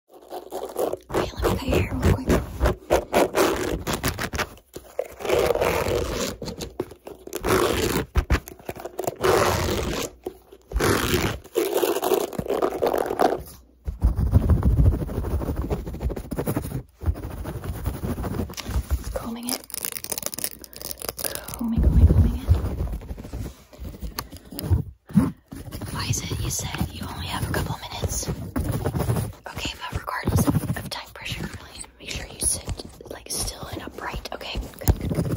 Okay, let me cut your hair real quick. combing it. Combing, combing, combing it. Why is it you said you only have a couple minutes? Okay, but regardless of, time pressure, really, make sure you sit like still and upright. Okay, good, good, good.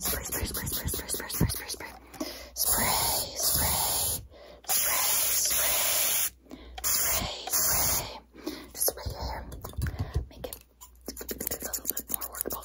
Spray, spray, spray, spray, spray, spray, spray, spray, spray. Spray, spray, spray, spray, spray, spray. Just spray your hair. Make it a little bit more workable.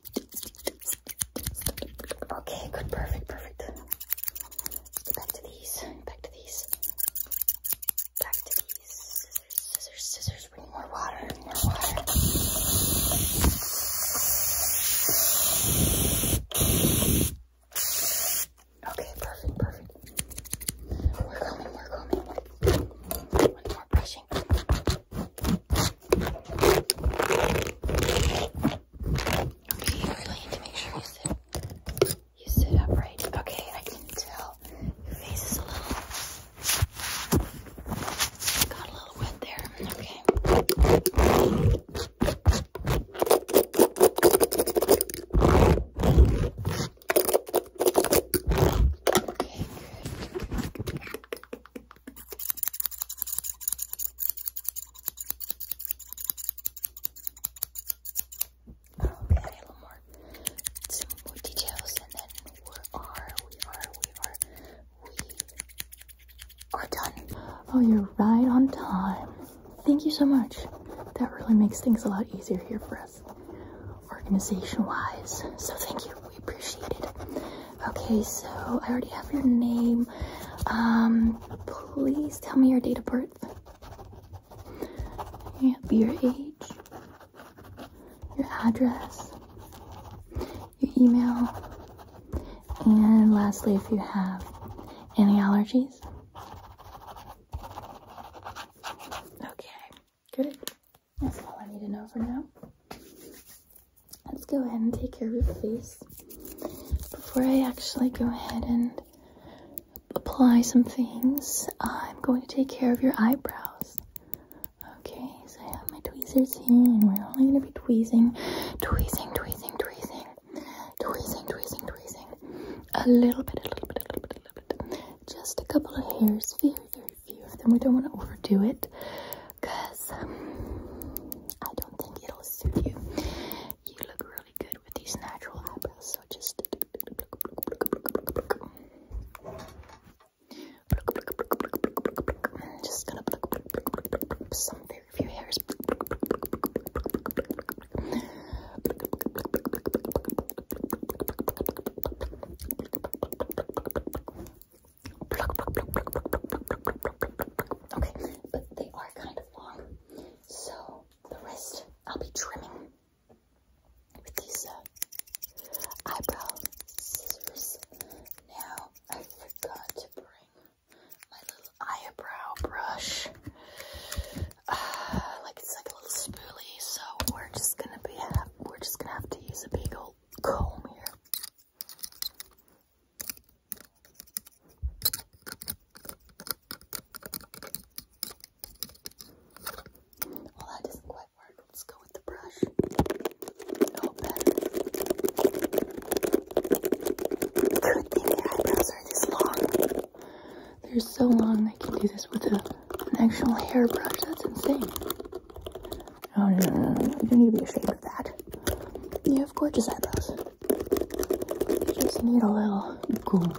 Okay, good, perfect, perfect. Back to these, back to these, back to these. Scissors, scissors, scissors. We more water, more water. Okay, perfect, perfect. We're coming, we're coming. One more brushing. Okay, you really need to make sure you sit, you sit upright. Okay, I can tell your face is a little, got a little wet there. Okay. Okay, good. Probably a little more, some more details, and then we are, we are, we are, we are done. Oh, you're right on time. Thank you so much. That really makes things a lot easier here for us, organization-wise. So thank you. We appreciate it. Okay, so I already have your name. Um, please tell me your date of birth. your age, your address, your email, and lastly, if you have any allergies. Okay, good. That's all I need to know for now. Let's go ahead and take care of your face before I actually go ahead and apply some things. I'm going to take care of your eyebrows. Okay, so I have my tweezers here, and we're only going to be tweezing, tweezing, tweezing, tweezing, tweezing, tweezing, tweezing, a little bit, a little bit, a little bit, a little bit, just a couple of hairs, very, very, few of them. We don't want to overdo it because um, I don't think it'll suit you. You look really good with these natural eyebrows, so just. Just gonna some very few hairs. Okay, but they are kind of long, so the rest I'll be trimming with these uh, eyebrow scissors. Now I forgot to bring my little eyebrow brush. Uh, like it's like a little spoolie, so we're just gonna be we're just gonna have to use a big old comb here. Well, that doesn't quite work. Let's go with the brush. Oh, better. Good thing the eyebrows are this long. They're so long they can do this with an actual hairbrush. That's insane. Oh, no, You don't need to be ashamed of that. You have gorgeous eyebrows. You just need a little grooming,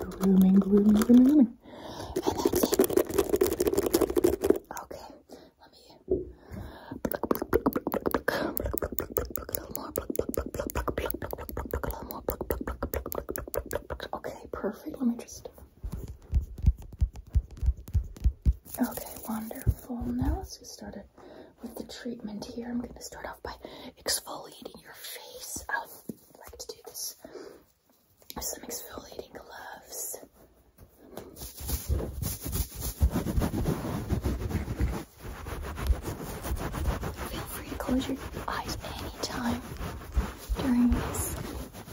grooming, grooming, grooming, grooming. And that's it. Okay, let me. Okay, perfect. Let me just. Okay, wonderful. Now let's get started with the treatment here. I'm going to start off by exfoliating your face. I would like to do this with some exfoliating gloves. Feel free to close your eyes anytime during this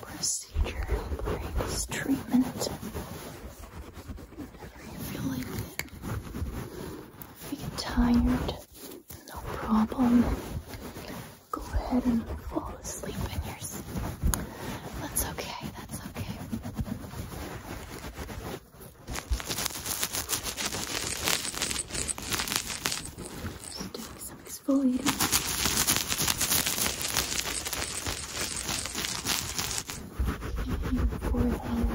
process procedure, this treatment. Whenever you feel like If you get tired, no problem. Go ahead and fall asleep in your seat. That's okay, that's okay. Just doing some exfoliating in your forehead,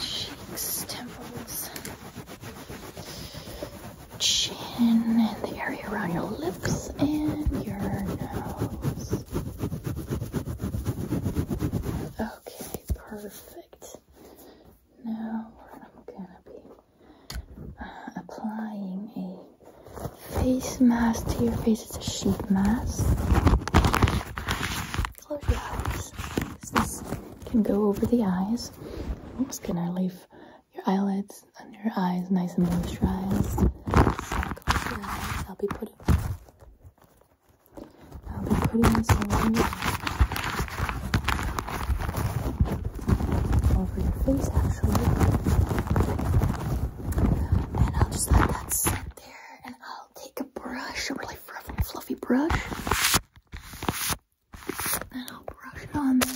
cheeks, temples, chin, and the area around your lips and your nose. Okay, perfect. Now where I'm gonna be applying a face mask to your face. It's a sheet mask. Close your eyes. This can go over the eyes. I'm just gonna leave your eyelids and your eyes nice and moisturized. I'll be putting I'll be putting this on your over your face. And I'll just let that sit there and I'll take a brush, a really fluffy, fluffy brush. And I'll brush it on there.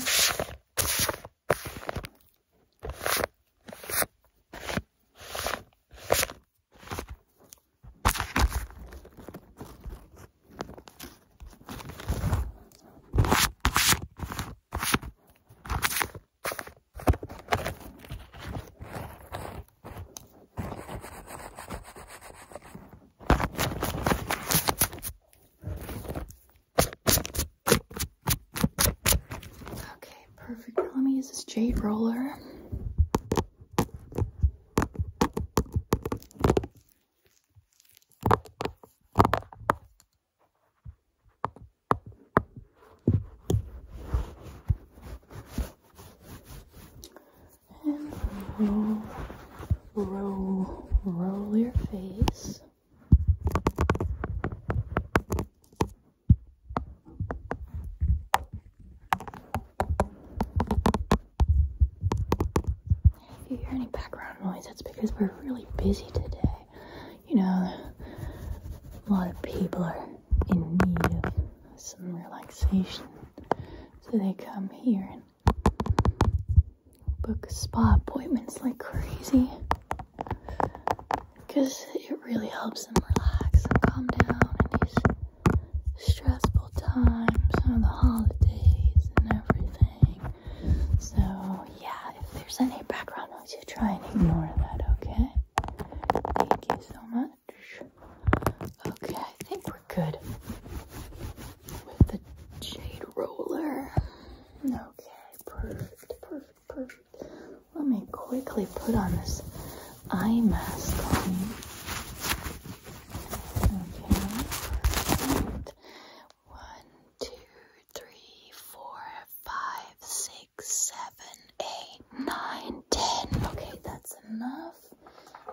Okay, perfect. let me use this jade roller. And roll, roll, roll your face. If you hear any background noise, that's because we're really busy today you know, a lot of people are in need of some relaxation. So they come here and book spa appointments like crazy because it really helps them relax and calm down in these stressful times on the holidays and everything. So, yeah, if there's any background noise, you try and ignore that, okay? Thank you so much. Okay, I think we're good with the jade roller. Okay, perfect, perfect, perfect. Let me quickly put on this eye mask on. Okay, one, two, three, four, five, six, seven, eight, nine, ten. Okay, that's enough.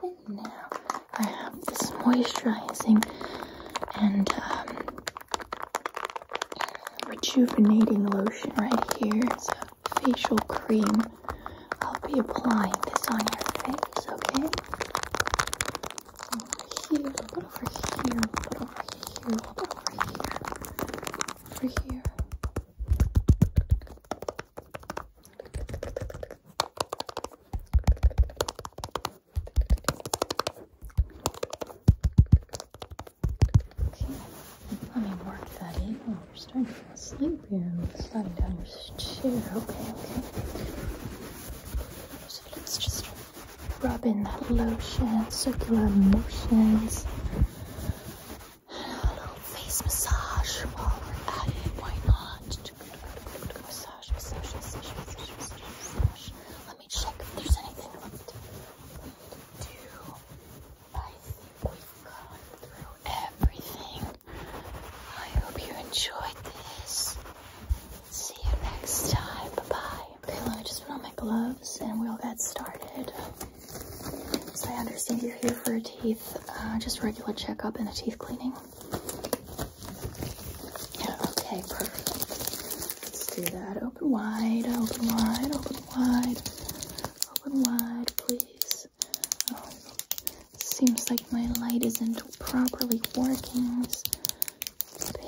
And now I have this moisturizing and um, rejuvenating lotion right here. It's a facial cream. I'll be applying this on your face, okay? Over here, what over here, what over here, what over here, over here. Let me work that in. Oh, you're starting to fall asleep here. I'm sliding down your chair. Okay, okay. So let's just rubbing that lotion, circular motions, and little face massage while we're at it. Why not? Massage, massage, massage, massage, massage, massage. Let me check if there's anything left to do. I think we've gone through everything. I hope you enjoyed this. See you next time. Bye-bye. Okay, let me just put on my gloves and we'll get started. So I understand you're here for a teeth, uh, just regular checkup and a teeth cleaning. Yeah, okay, perfect. Let's do that. Open wide, open wide, open wide, open wide, please. Oh, seems like my light isn't properly working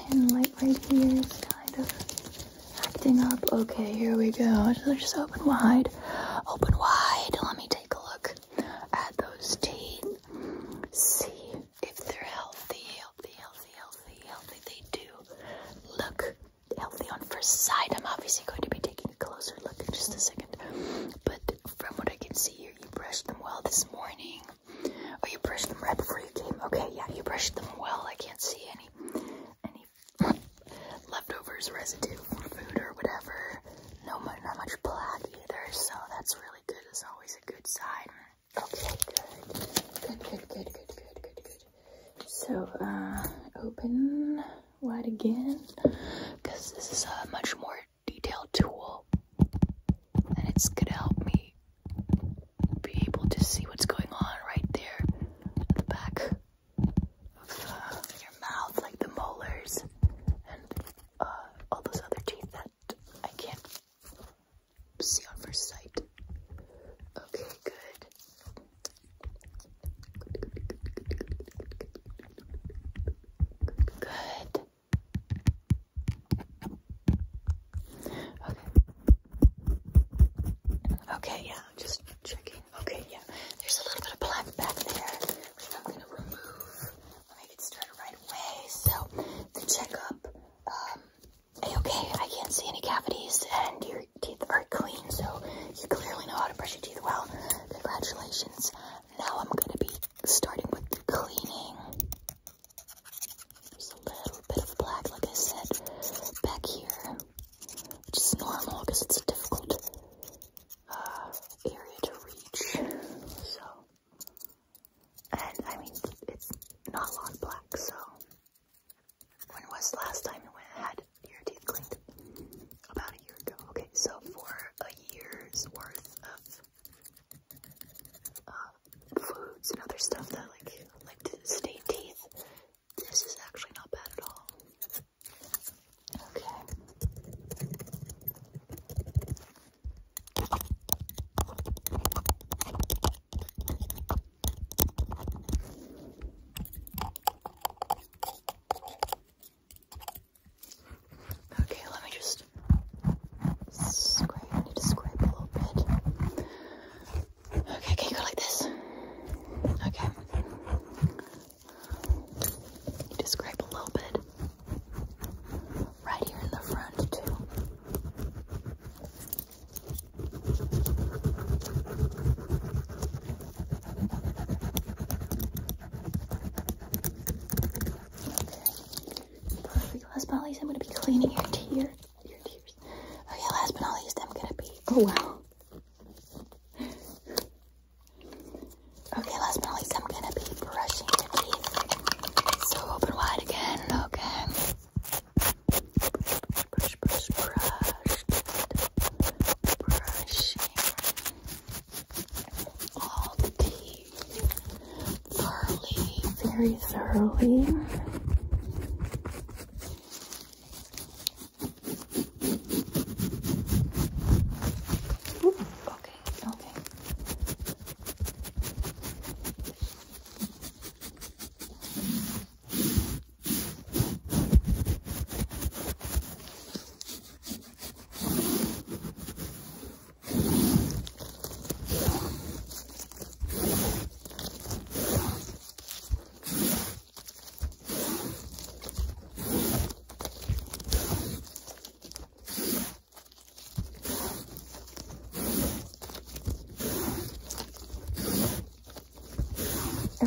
pin light right here is kind of acting up. Okay, here we go. Just open wide. Open wide. Let me take a look at those teeth. See if they're healthy, healthy, healthy, healthy, healthy. They do look healthy on first sight. I'm obviously going to be taking a closer look in just a second. But from what I can see here, you brushed them well this morning. Oh, you brushed them right before you came. Okay, yeah, you brushed them well. I can't see any any leftovers, residue from food or whatever. No, not much black either, so that's really good. It's always a good sign. Okay, good. Good, good, good, good, good, good, So, uh, open wide again, because this is a much more detailed tool and it's gonna help me be able to see what's going on right there at the back of uh, your mouth, like the molars and uh, all those other teeth that I can't see on first sight. Okay, good. Good. Okay. Okay, yeah, just checking. Okay, yeah. There's a little bit of black back there, which I'm going to remove. Let me get started right away. So, the checkup, um, okay I can't see any cavities, and your teeth are clean, so you clearly know how to brush your teeth well. Congratulations. Now I'm going to be starting with the cleaning. There's a little bit of black, like I said, back here, which is normal because it's a difficult uh, area to reach. So, and I mean, it's not a lot of black, so when was the last time you went and had your teeth cleaned? About a year ago. Okay, so for a year's worth of uh, foods and other stuff that like like to stain teeth. This is actually not bad at all. Okay. Okay, let me just Scrape. I need to scrape a little bit. Okay, can you go like this? Okay. Need to scrape a little bit. Right here in the front too. Perfect. Last but not least, I'm gonna be cleaning your tear, your tears. Okay, oh, last but not least, I'm gonna be. Oh wow. Okay, last but not least, I'm gonna be brushing your teeth. So open wide again. Okay. Brush, brush, brush, brush, brushing all the teeth thoroughly, very thoroughly. Ooh, okay, okay.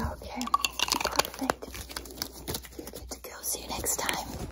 Okay, perfect. You get to go. See you next time.